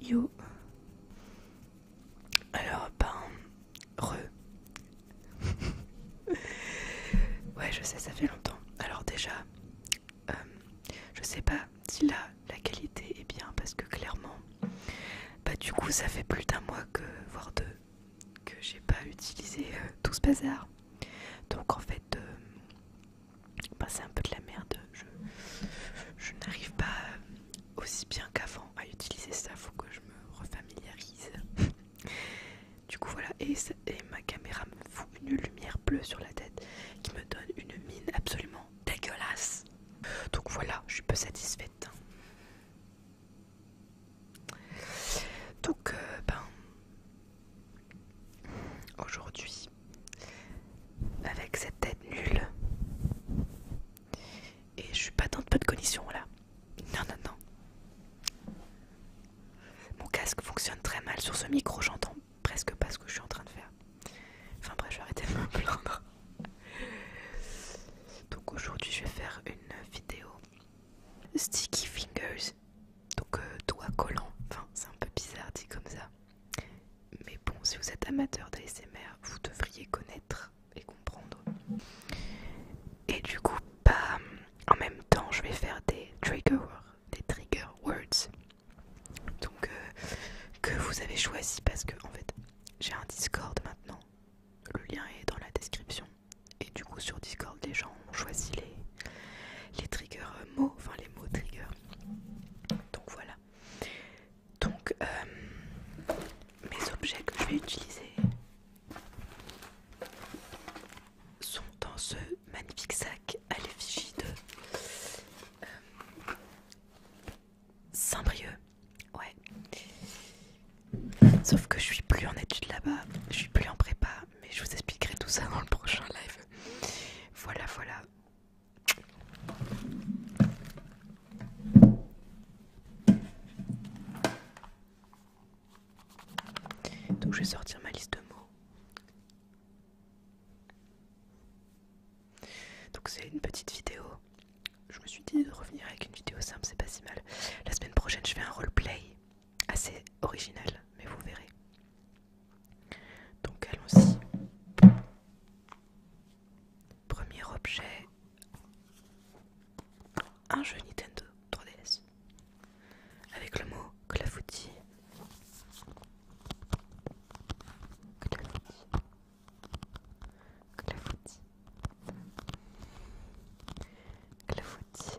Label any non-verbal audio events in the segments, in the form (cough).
Yo. Alors, ben, re. (laughs) ouais, je sais, ça fait longtemps. Alors déjà, euh, je sais pas si là, la qualité est bien, parce que clairement, bah du coup, ça fait plus d'un mois que, voire deux, que j'ai pas utilisé euh, tout ce bazar. Donc en fait, euh, bah, c'est un peu de la merde, je, n'arrive pas aussi bien qu'avant à utiliser ça, faut que je me refamiliarise. du coup voilà, et, ma caméra me fout une lumière bleue sur la tête qui me donne une mine absolument dégueulasse. Donc voilà, je suis peu satisfaite. Donc euh, ben Aujourd'hui, avec cette tête nulle, et je suis pas dans de peu de cognition là. Non, non, non. Mon casque fonctionne très mal sur ce micro, j'entends presque pas ce que je suis en train de faire. Enfin bref, je vais arrêter de me plaindre. Donc aujourd'hui, je vais faire une vidéo Sticky Fingers donc euh, doigt collant, enfin c'est un peu bizarre dit comme ça. Mais bon, si vous êtes amateur d'ASMR, vous devriez connaître et comprendre. Et du coup, bah, en même temps, je vais faire des trigger, des trigger words. Donc, euh, que vous avez choisi parce que, en fait, j'ai un Discord maintenant. Le lien est dans la description. Et du coup, sur Discord, les gens ont choisi les, les triggers euh, mots, enfin les mots triggers. Donc voilà. Donc euh, mes objets que je vais utiliser sont dans ce magnifique sac à l'effigie de euh, Ouais. Sauf que je suis plus en étude là-bas, je suis plus en prépa, mais je vous expliquerai tout ça dans le prochain live. Voilà, voilà. Donc je vais sortir ma liste de mots. Donc c'est une petite vidéo. Je me suis dit de revenir avec une vidéo simple, c'est pas si mal. La semaine prochaine, je fais un roleplay assez original, mais vous verrez. Donc allons-y. Premier objet, un jeu Nintendo 3DS avec le mot clafouti. Clafouti. Clafouti.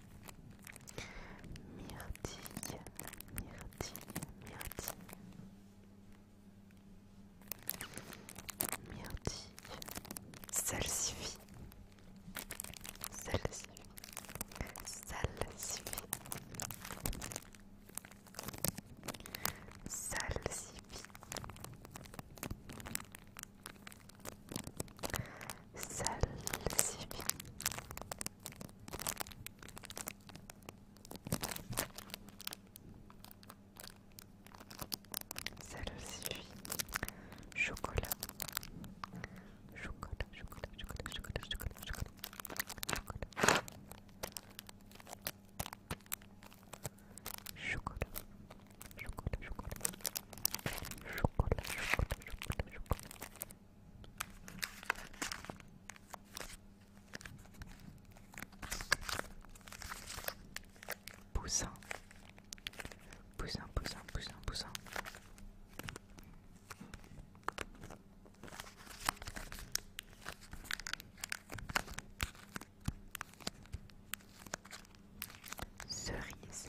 myrtille, myrtille, myrtille, myrtille, Salcifie, Salcifie, Salcifie, Salcifie. Salsifis. Chocolat. Chocolat, chocolat, chocolat, chocolat, chocolat, chocolat. Chocolat. Chocolat. Chocolat, chocolat. Chocolat, chocolat, chocolat, chocolat. Poussin, poussin, poussin, poussin, poussin. Cerise,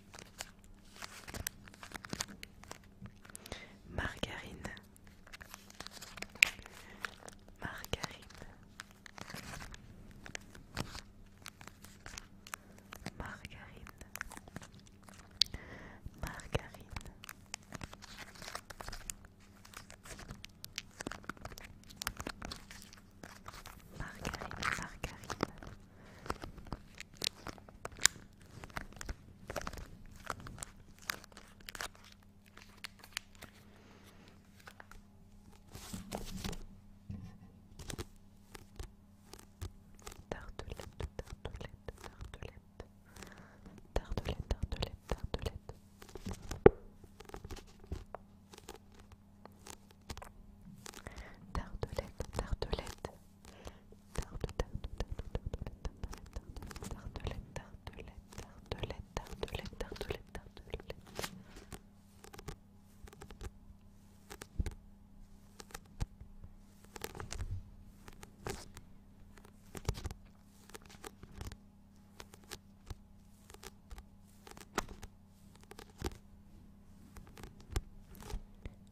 Margarine. Margarine. Margarine. Margarine. Margarine, margarine, Tartelette, tartelette, tartelette. Tartelette, tartelette, tartelette. Tartelette, tartelette. tartelette de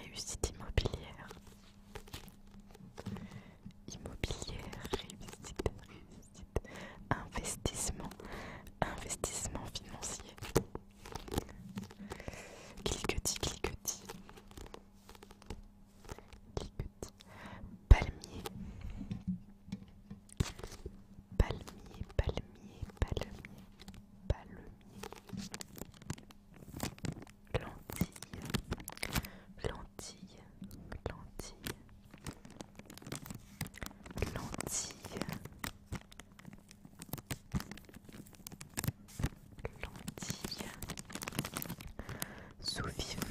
Réussite immobilière. Immobilière, réussite, réussite. Investissement, investissement financier. Cliquetis, cliquetis. Cliquetis. Palmier. Palmier, palmier, palmier, palmier. Lentille, lentille, lentille, l'entille, l'entille, sous-vivre,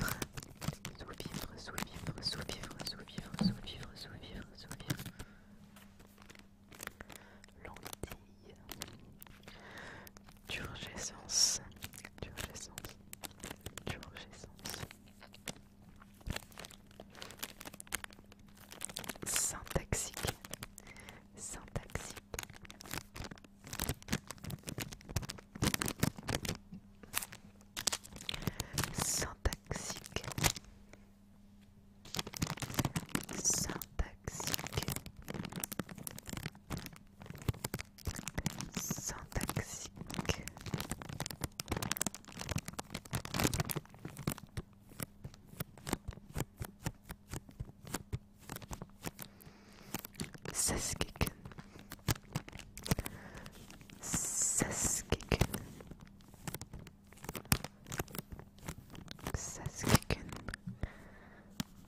sous-vivre, sous-vivre, sous-vivre, sous-vivre, sous-vivre, sous-vivre, sous Turgescence, turgescence, turgescence. Syntaxique, syntaxique. Syntaxique, syntaxique, syntaxique Saskicken Saskiken Saskiken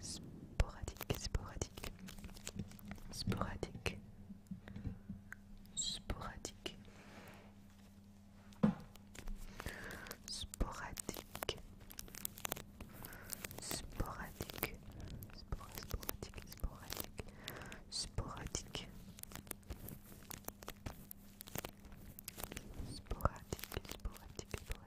sporadique, sporadique, sporadique, sporadique, sporadique, sporadique, sporadique, sporadique, sporadique. Sporadique, sporadique, sporadique,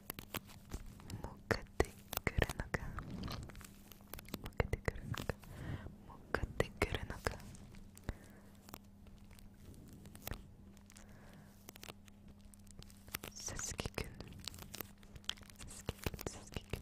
もかってくるのかもかってくるのかもかってくるのかさすきくんさすきくんさすきくん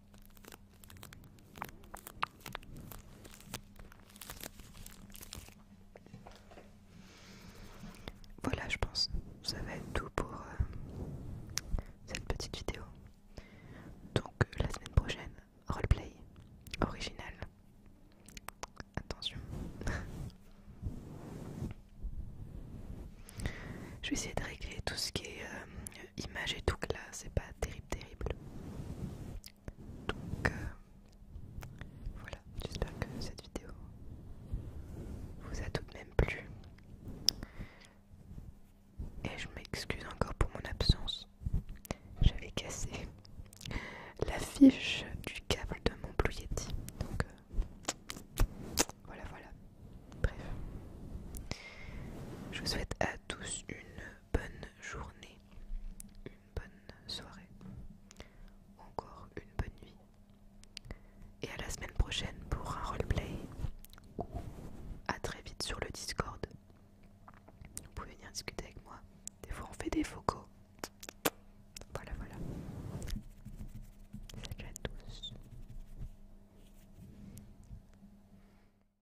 Voilà, je pense, ça va être tout pour euh, cette petite vidéo. Donc euh, la semaine prochaine, roleplay original. Attention. (laughs) je vais essayer de régler tout ce qui est euh, image et tout que là c'est pas terrible terrible donc euh, voilà j'espère que cette vidéo vous a tout de même plu et je m'excuse encore pour mon absence j'avais cassé (laughs) l'affiche du câble de mon Blue donc euh, voilà voilà bref je vous souhaite à tous une bonne journée, une bonne soirée, encore une bonne nuit. Et à la semaine prochaine pour un roleplay à très vite sur le Discord. Vous pouvez venir discuter avec moi. Des fois, on fait des focaux. Voilà, voilà. Salut à tous.